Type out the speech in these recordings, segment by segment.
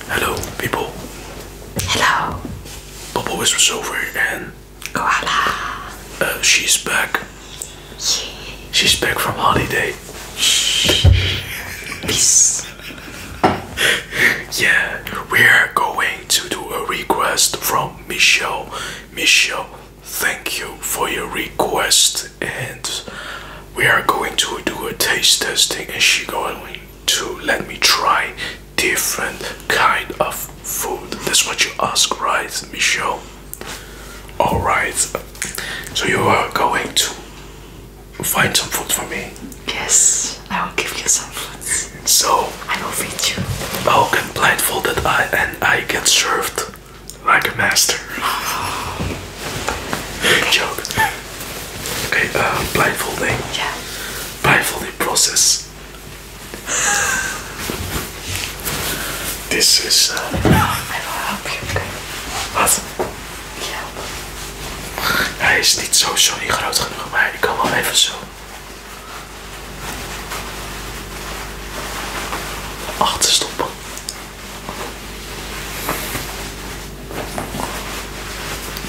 Hello, people. Hello. Bobo is over and Koala. Uh, she's back. Yeah. She's back from holiday. Peace. yeah, we're going to do a request from Michelle. Michelle, thank you for your request, and we are going to do a taste testing, and she going to let me try different kind of food. That's what you ask, right, Michelle? All right. So you are going to find some food for me. Yes, I will give you some food. So I will feed you. How can blindfolded I and I get served like a master? Joke. Okay, uh, eh, Ja. Yeah. Blindfolding process. This is. Uh, I helpen. you. Okay. Wat? Ja. Hij is niet zo sorry groot genoeg, maar ik kan wel even zo. 8 stoppen.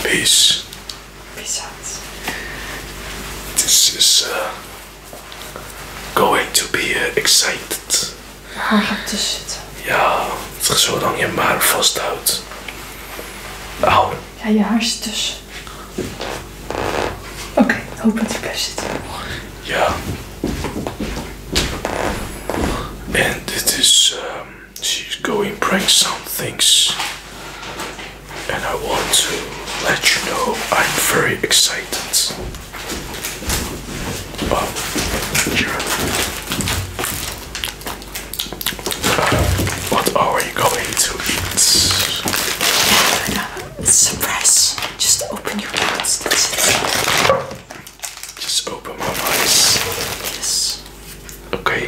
Peace. Peace out. This is uh, going to be uh, excited. Haar gaat tussen zitten. Ja, zolang je maar vasthoudt. Au. Nou. Ja, je haar zit tussen. Oké, okay, hoop dat hij blijft zitten. Ja. En dit is. Ehm, she's going bring some things and I want to let you know I'm very excited but uh, are you going to Surprise! Just open your mouth. Just open my eyes. Yes. Okay.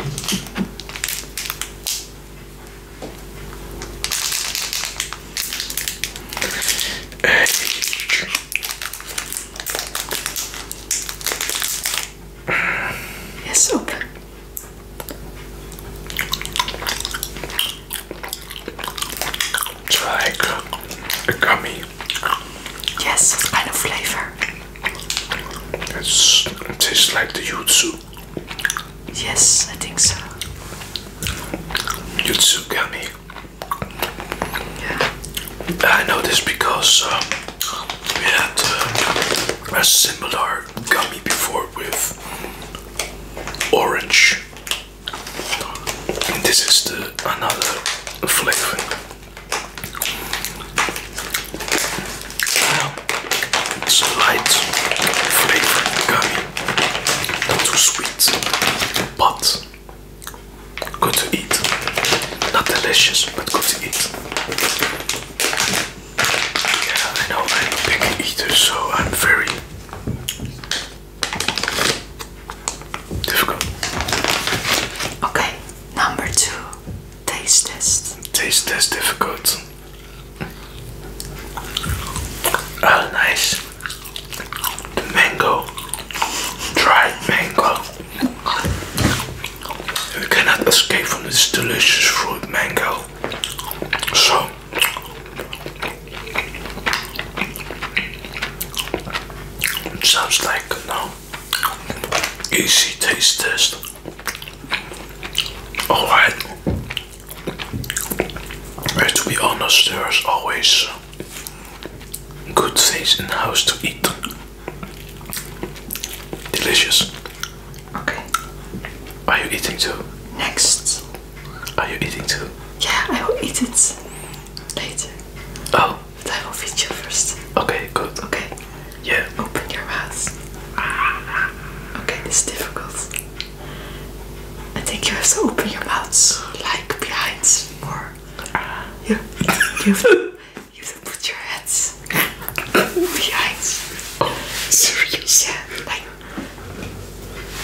Yes, open. It's like Yes, what kind of flavor? It's, it tastes like the yuzu. Yes, I think so. Yuzu gummy. Yeah. I know this because um, we had uh, a similar gummy before with orange. this is the another flavor. Well, light not too sweet, but good to eat. Not delicious, but good to eat. Yeah, I know I'm a picky eater, so I'm very Difficult. Okay, number two, taste test. Taste test difficult. Oh, nice. The mango, dried mango. You cannot escape from this delicious fruit mango. So, sounds like no easy taste test. Alright. But uh, to be honest, there's always good things in house to eat. Delicious. Okay. Are you eating too? Next. Are you eating too? Yeah, I will eat it later. Oh but I will feed you first. Okay, good. Okay. Yeah. Open your mouth. Okay, it's difficult. I think you have to open your mouth like behind more. You, you, have, to, you have to put your hands behind. Oh, serious? Yeah, like.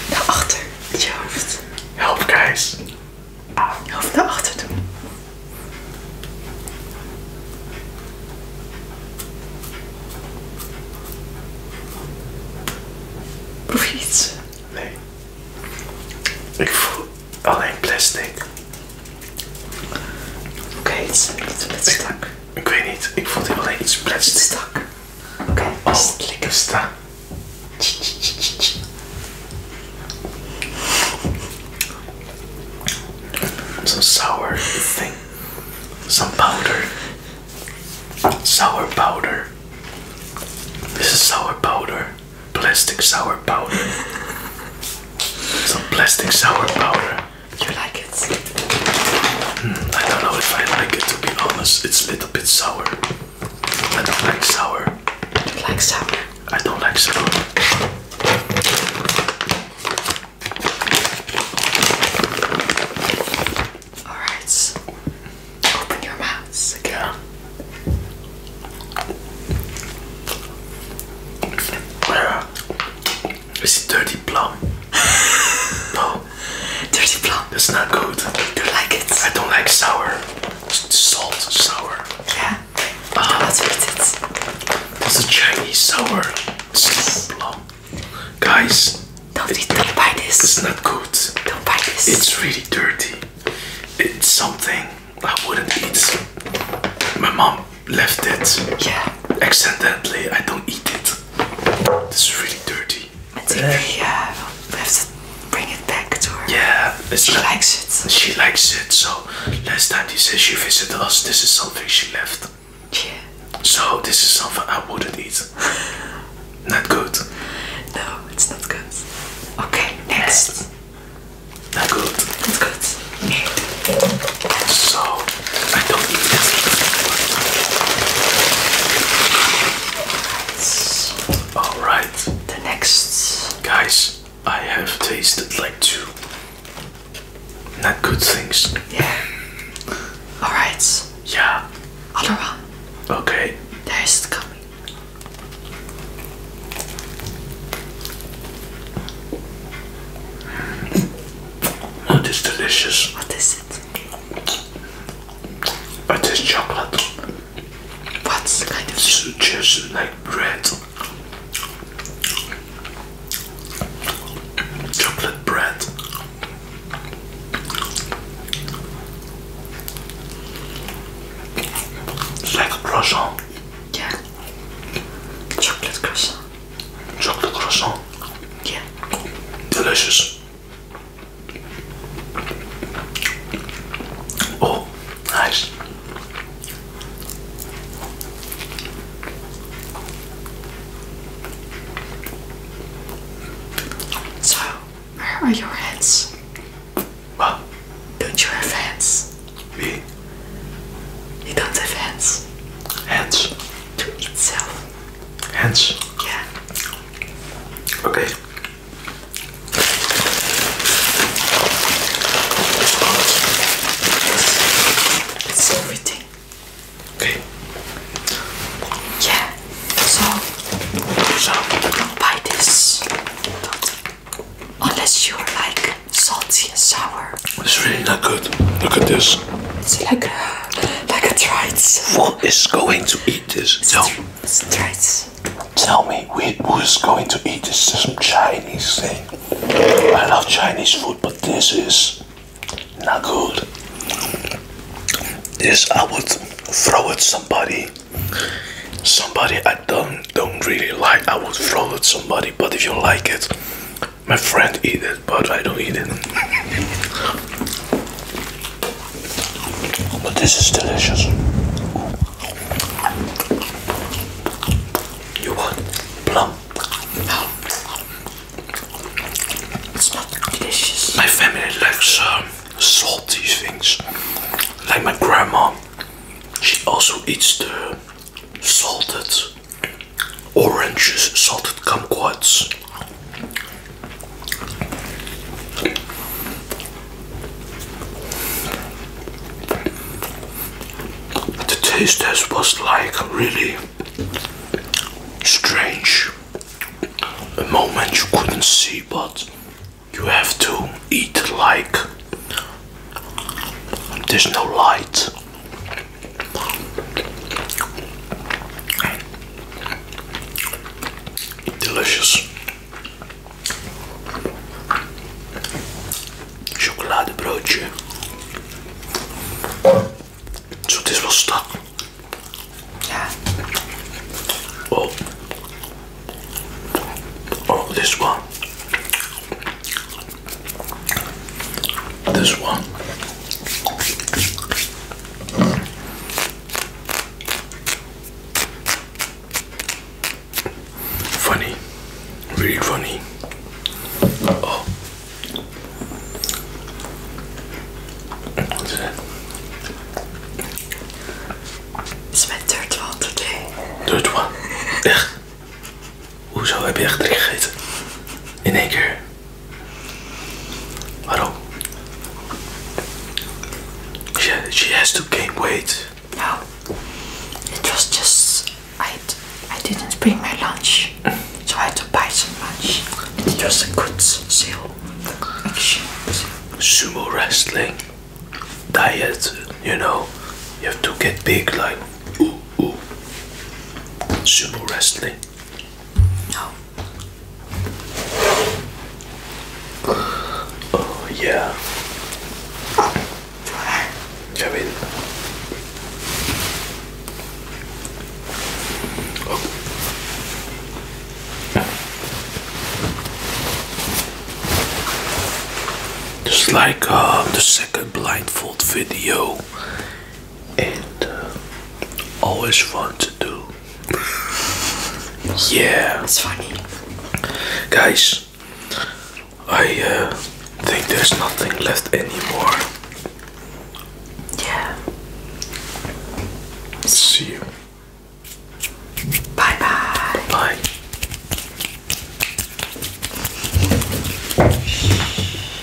Naar achter, je hoofd. Help, guys. hoeft naar achter doen. Proef je iets? Nee. Ik voel alleen plastic. Oké, iets met, Ik, weet niet, ik voelde alleen iets plastic. Stak. Oké, okay, oh, Some sour thing, some powder, sour powder. This is sour powder, plastic sour powder. Some plastic sour powder. You like it? Hmm, I don't know if I like it to be honest. It's a little bit sour. I don't like sour. I don't like sour. I don't like sour. Alright. So open your mouths again. Where is it dirty plum? no. Dirty plum. That's not good. I don't like it. I don't like sour salt sour. Yeah, Oh, that's what it is. a Chinese sour. It's long. Guys, don't, it, don't buy this. It's not good. Don't buy this. It's really dirty. It's something I wouldn't eat. My mom left it. Yeah. Accidentally, I don't eat it. This is really dirty. And think we have to bring it back to her. Yeah, she likes it. She likes it. So last time he said she visited us, this is something she left. Yeah. So this is something I wouldn't eat. not good. No, it's not good. Okay, next. Not good. Not good. So I don't eat this. All right. The next. Guys, I have tasted like two not good things. Yeah. All right. Yeah. Other one. Okay. There is coming. What is delicious? What is it? But it's chocolate. What's the kind of it's just like bread? Chocolate bread. It's like a croissant. Yeah. Chocolate croissant. Chocolate croissant. Yeah. Delicious. Oh, nice. So, where are your heads? What? Don't you have heads? Me? You don't have heads. Heads. To itself. Hands? Yeah. Okay. That's everything. Okay. Yeah. So, so don't buy this. Unless you're like salty and sour. It's really not good. Look at this. It's like a, like a tried. What is going to eat? eat this. Tell, tell me who's going to eat this. Some Chinese thing. I love Chinese food, but this is not good. This I would throw at somebody. Somebody I don't don't really like. I would throw at somebody, but if you like it, my friend eat it, but I don't eat it. But this is delicious. You want plum? It's not delicious. My family likes um, salty things. Like my grandma, she also eats the salted oranges, salted kumquats. The taste test was like really strange. A moment you couldn't see, but you have to eat like there's no light. Delicious. chocolate Zo, So this was stuck. Oh. Oh, this one. This one. Funny, really funny. Oh, is today. Hoezo heb je echt erin gegeten? In één keer? I She, she has to gain weight. No, it was just I, I didn't bring my lunch, so I had to buy some lunch. And it was a good sale. Action. Sumo wrestling, diet, you know, you have to get big like Sumo wrestling. Oh yeah. I mean, oh. Just like um, the second blindfold video, and uh, always fun to do. yeah, it's funny, guys. I uh, think there's nothing left anymore. Yeah. See you. bye. Bye. -bye.